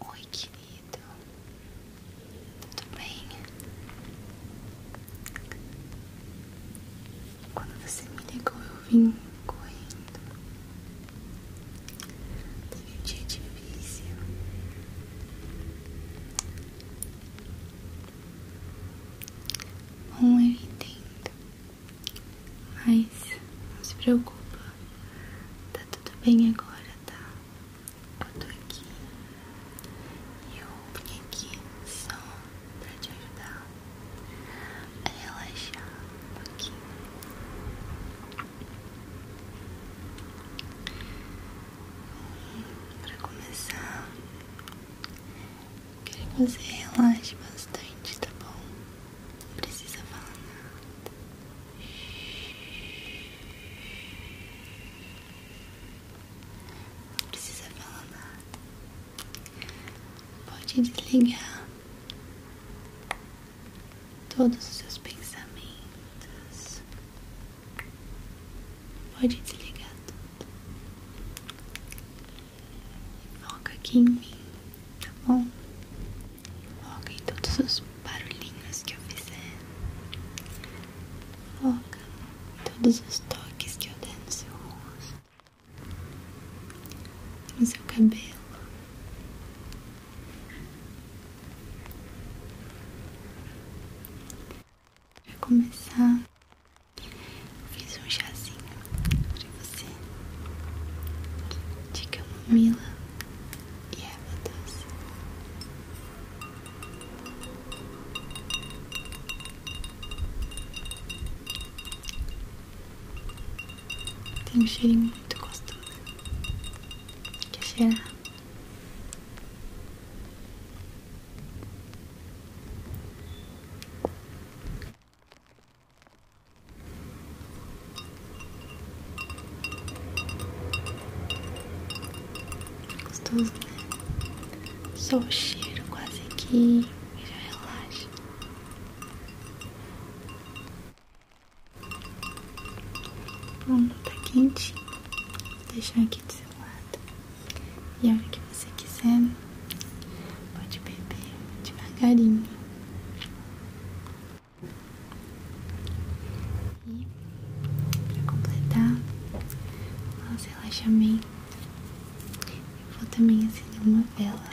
Oi, querido. Tudo bem? Quando você me ligou, eu vim correndo. Teve um dia difícil. Bom, eu entendo. Mas não se preocupa. Tá tudo bem agora, tá? Eu tô aqui. Eu vim aqui só pra te ajudar a relaxar um pouquinho. Pra começar, Quero que você relaxe bastante, tá bom? Não precisa falar nada. Não precisa falar nada. Pode desligar todos os seus pensamentos. Pode desligar tudo. Foca aqui em mim, tá bom? Foca em todos os barulhinhos que eu fizer. Foca em todos os toques que eu der no seu rosto, no seu cabelo. Pra começar, fiz um chazinho para você de camomila e erva doce. Tem um cheirinho muito gostoso. Quer cheirar? Gostoso, né? Só o cheiro quase que já relaxa. Pronto, tá quente. deixar aqui do seu lado. E a hora que você quiser, né? pode beber devagarinho. E para completar o nosso relaxamento, eu vou também acender uma vela.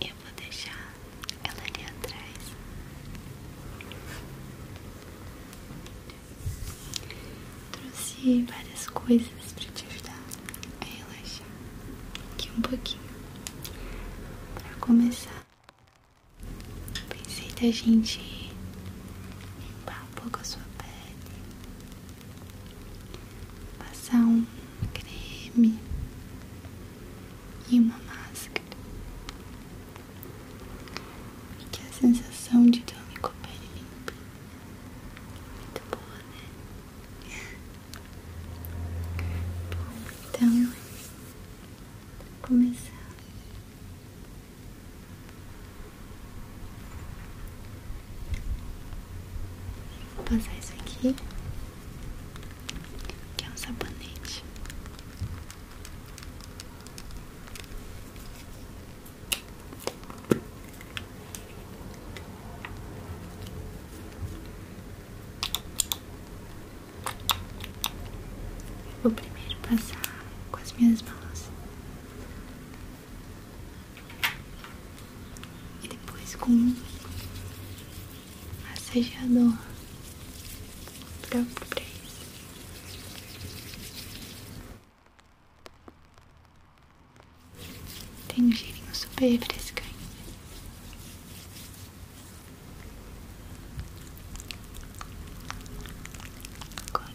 Eu vou deixar ela ali atrás. Trouxe várias coisas para te ajudar a relaxar aqui um pouquinho. Para começar, pensei da gente limpar um pouco a sua pele. Passar um creme e uma máscara. Porque a sensação de ter com a pele limpa muito boa, né? Bom, então, começar. Vou passar isso aqui, que é um sabonete. vou primeiro passar com as minhas mãos e depois com um massageador próprio pra isso. Tem um cheirinho super refrescante. Agora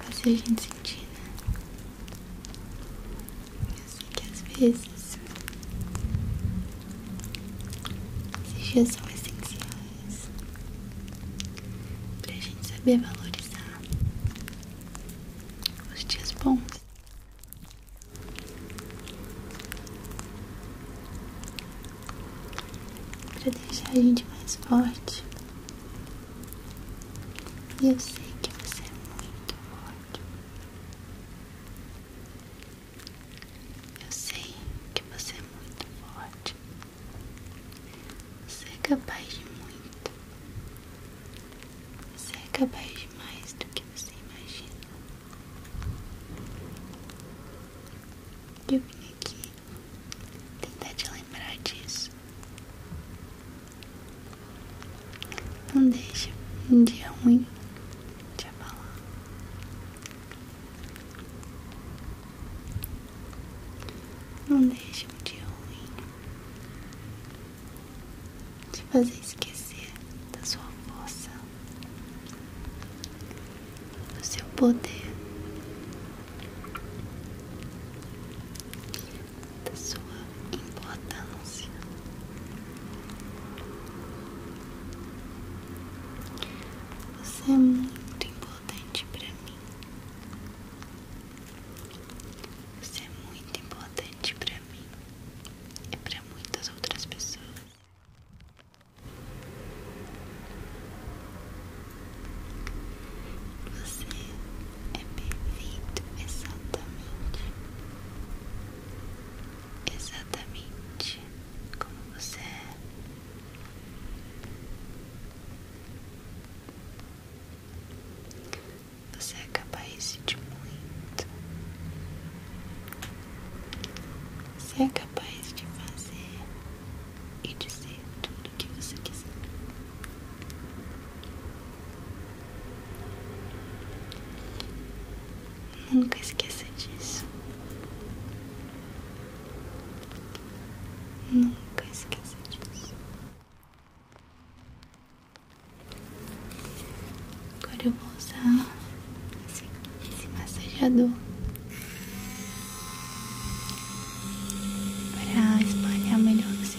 fazer a gente sentir, né? Eu sei que às vezes esses dias são essenciais pra gente saber valorizar os dias bons. Pra deixar a gente mais forte e eu sei que você é muito forte. Eu sei que você é muito forte. Você é capaz de muito. Você é capaz de mais do que você imagina. Eu vim aqui Tentar te lembrar disso. Não deixe um dia ruim te abalar. Não deixe um dia ruim te fazer esquecer da sua força, do seu poder da sua importância. Você é muito importante para mim. Você é muito importante para mim e para muitas outras pessoas. Você é perfeito exatamente, exatamente como você é. Você é capaz de muito. Você é capaz de fazer e dizer tudo o que você quiser. Nunca esqueça disso. Nunca esqueça disso. Agora eu vou usar esse, esse para espalhar melhor o seu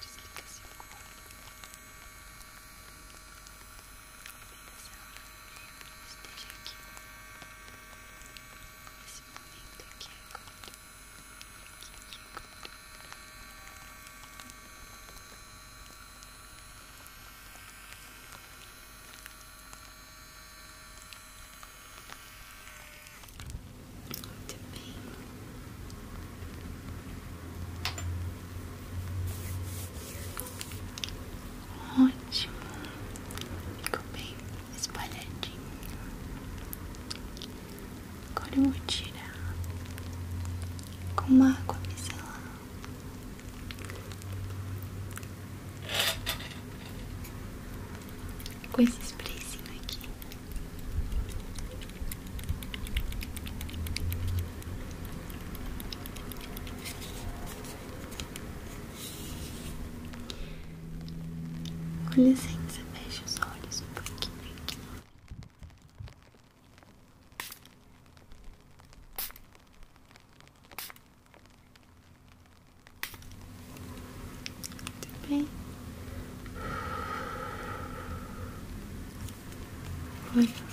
Desliga esse corpo. Esteja aqui. Esse momento aqui agora. Aqui, aqui agora. Muito bem. Ótimo. Ficou bem espalhadinho. Agora vou tirar com uma água micelar com esse sprayzinho aqui. Com licença, os olhos um pouquinho aqui. Muito bem. Olha, outro. Muito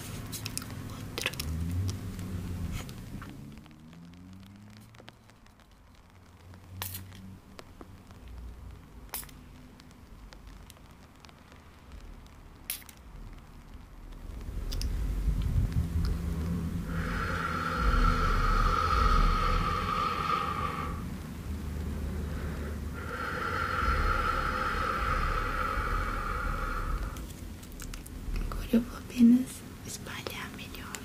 Agora eu vou apenas espalhar melhor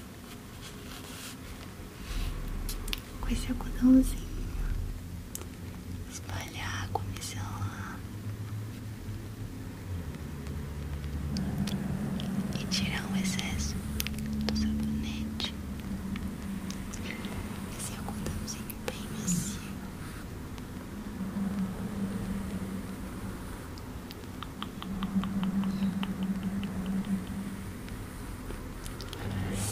com esse algodãozinho. Espalhar com esse lá e tirar o excesso do sabonete se Esse é o algodãozinho bem macio.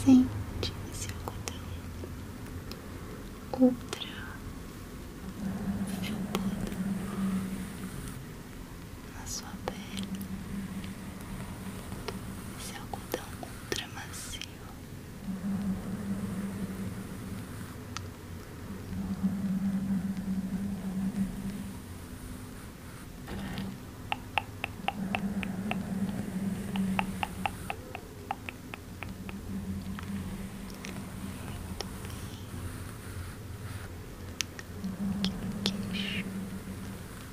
Sente esse algodão ultra na sua pele. Esse algodão ultra macio. Muito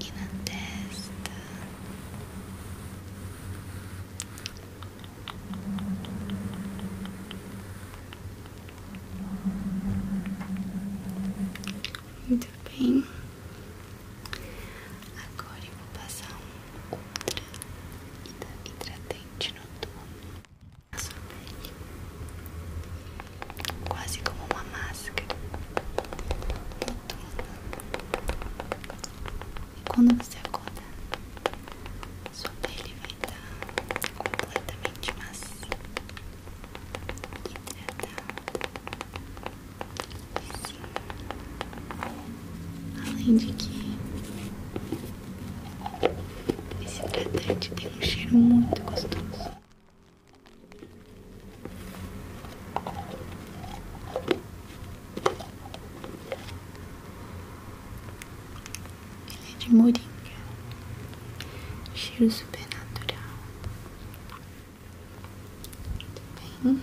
e na testa. Muito bem. Agora eu vou passar um ultra hidratante noturno na sua quase como uma máscara. e Quando você acorda, sua pele vai estar completamente macia, hidratada. Assim. Além de que esse tratante tem um cheiro muito gostoso. Ele é de moringa, cheiro super natural. Muito bem.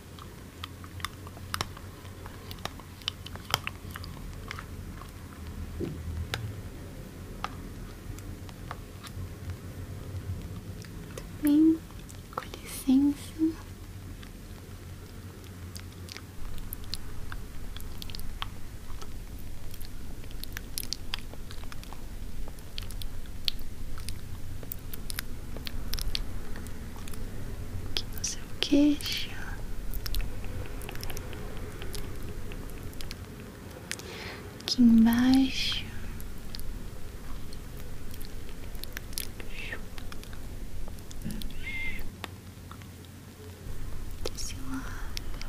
tá bem, com licença aqui no seu é queixo. Aqui embaixo. Desse lado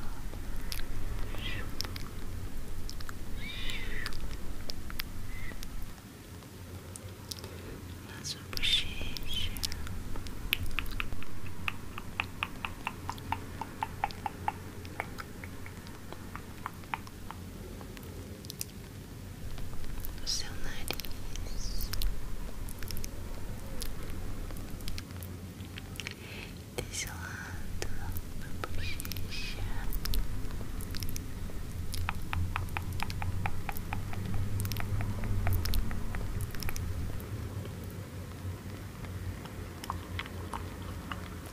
na sua bochecha. No seu nariz, desse lado da bochecha,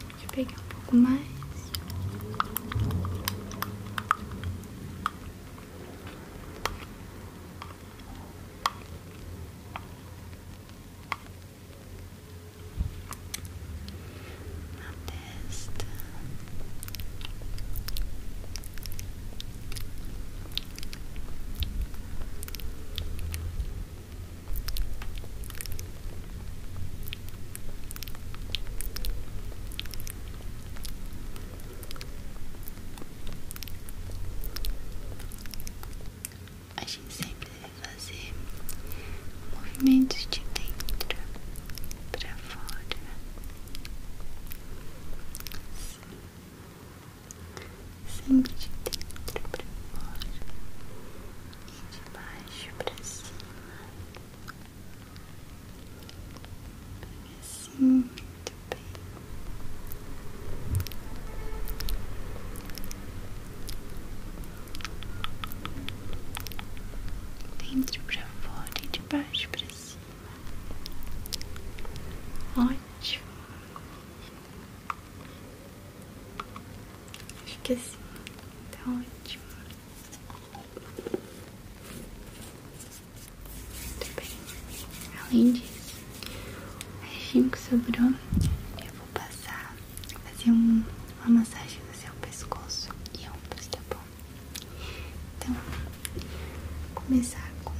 Deixa eu pegar um pouco mais. Na testa. A gente sempre deve fazer movimentos de dentro para fora sempre de dentro para fora e de baixo para cima, assim, muito bem. Dentro para fora e de baixo para cima. Ótimo. Acho que assim tá ótimo. Muito bem. Além disso, o restinho que sobrou, eu vou passar, fazer um, uma massagem no seu pescoço e ombros, tá bom? Então, vou começar com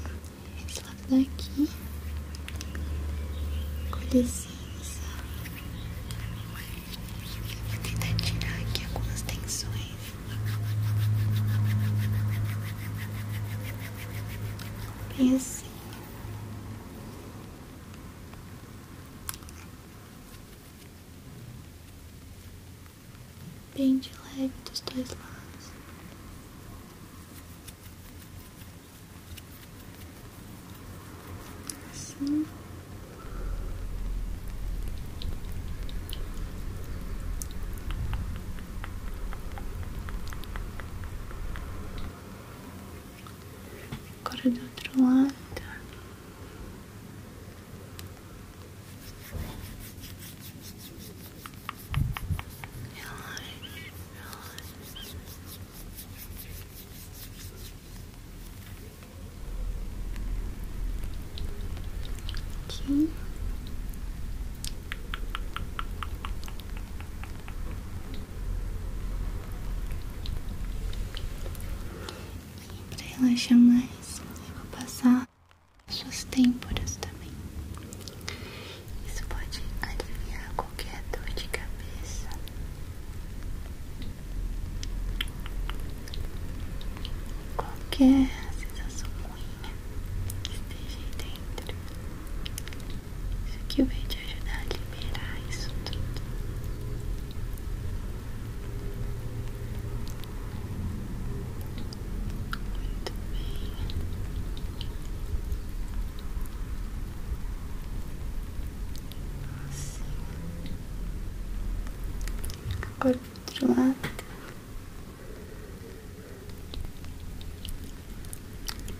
esse lado daqui. Com licença. Vou tentar tirar aqui algumas tensões. Bem assim bem de leve dos dois lados. Assim. Agora do outro lado. Aqui. E para relaxar mais, vou passar suas têmporas também. Isso pode aliviar qualquer dor de cabeça. Qualquer sensação ruim que esteja aí dentro. Isso aqui vai te ajudar a liberar isso tudo. Muito bem. Assim. outro lado.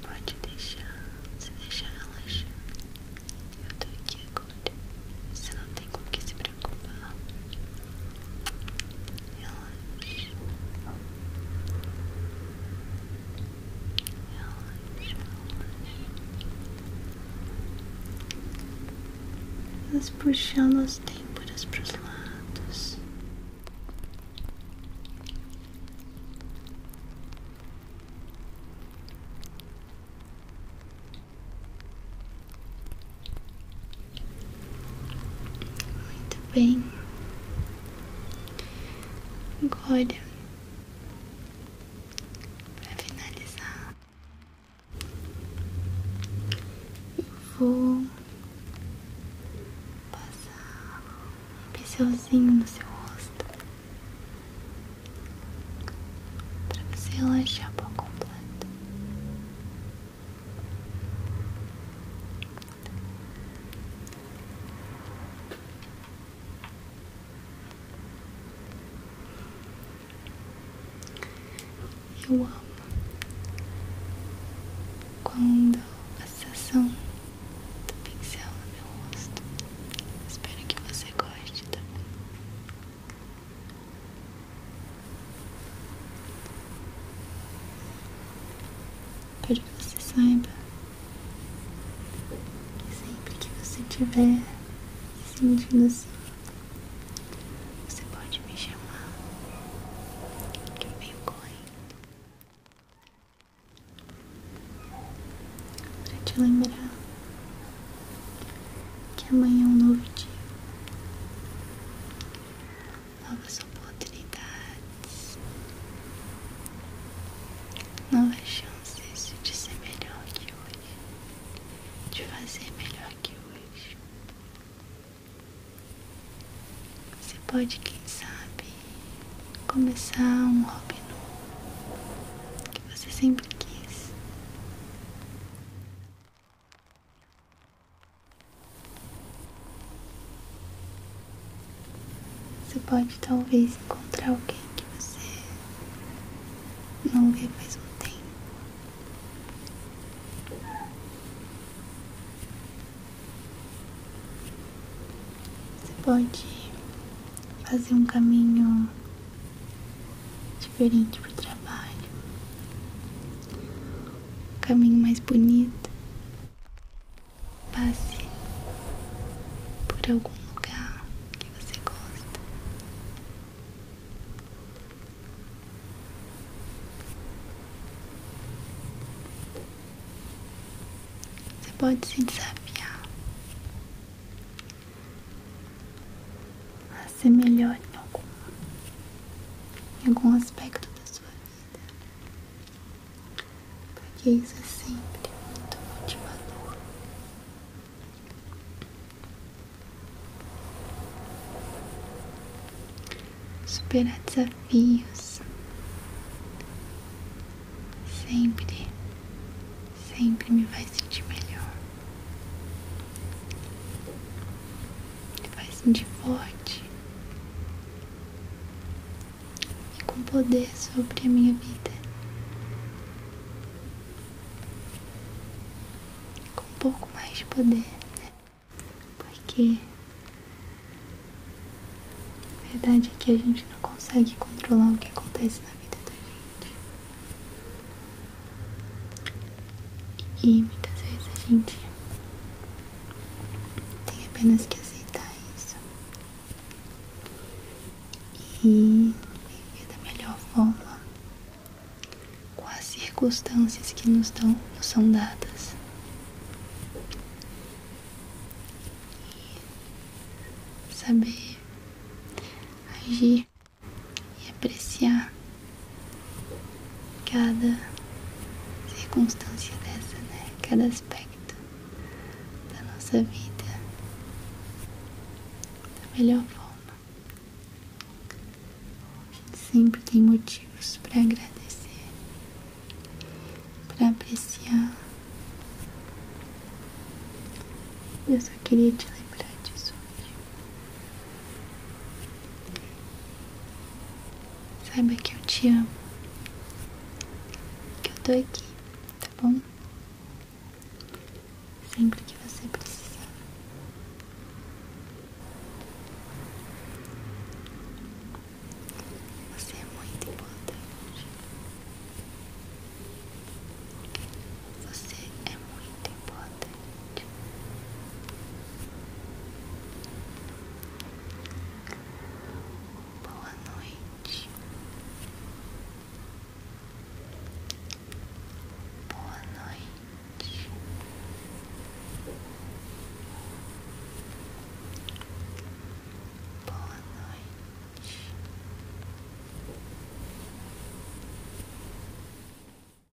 Pode deixar, se deixar relaxar. Eu tô aqui agora. Você não tem tem com o que se preocupar. Relaxa. Relaxa, relaxa. Nós puxando as têmporas para os lados. Relaxa. Muito bem. Agora, para finalizar, eu vou passar um pincelzinho no seu rosto para você relaxar por completo. Eu amo quando a sensação do pincel no meu rosto. Espero que você goste também. Tá para que você saiba que sempre que você tiver sentindo assim, você pode me chamar que eu venho correndo te lembrar que amanhã é um novo dia novas oportunidades, novas chances de ser melhor que hoje, de fazer melhor que hoje. Você pode, quem sabe, começar um hobby novo que você sempre quis. Você pode talvez encontrar alguém que você não vê faz um tempo. Você pode fazer um caminho diferente para o trabalho caminho mais bonito. Passe por algum lugar que você gosta. Você pode se desafiar a ser melhor em algum, em algum aspecto da sua vida. Porque isso é sempre muito motivador. Superar desafios sempre, sempre me vai sentir melhor. Vai sentir forte e com poder sobre a minha vida, com um pouco mais de poder, né? Porque a verdade é que a gente não consegue controlar o que acontece na vida da gente. E muitas vezes a gente tem apenas que aceitar isso. E viver da melhor forma com as circunstâncias que nos, dão, são dadas. E saber agir e apreciar cada circunstância dessa, né? Cada aspecto da nossa vida da melhor forma. Sempre tem motivos para agradecer, para apreciar. Eu só queria te lembrar disso. Saiba que eu te amo. Que eu tô aqui, tá bom? Sempre que você precisar. Você é muito importante. Você é muito importante importante. Boa noite. Boa noite. Boa noite.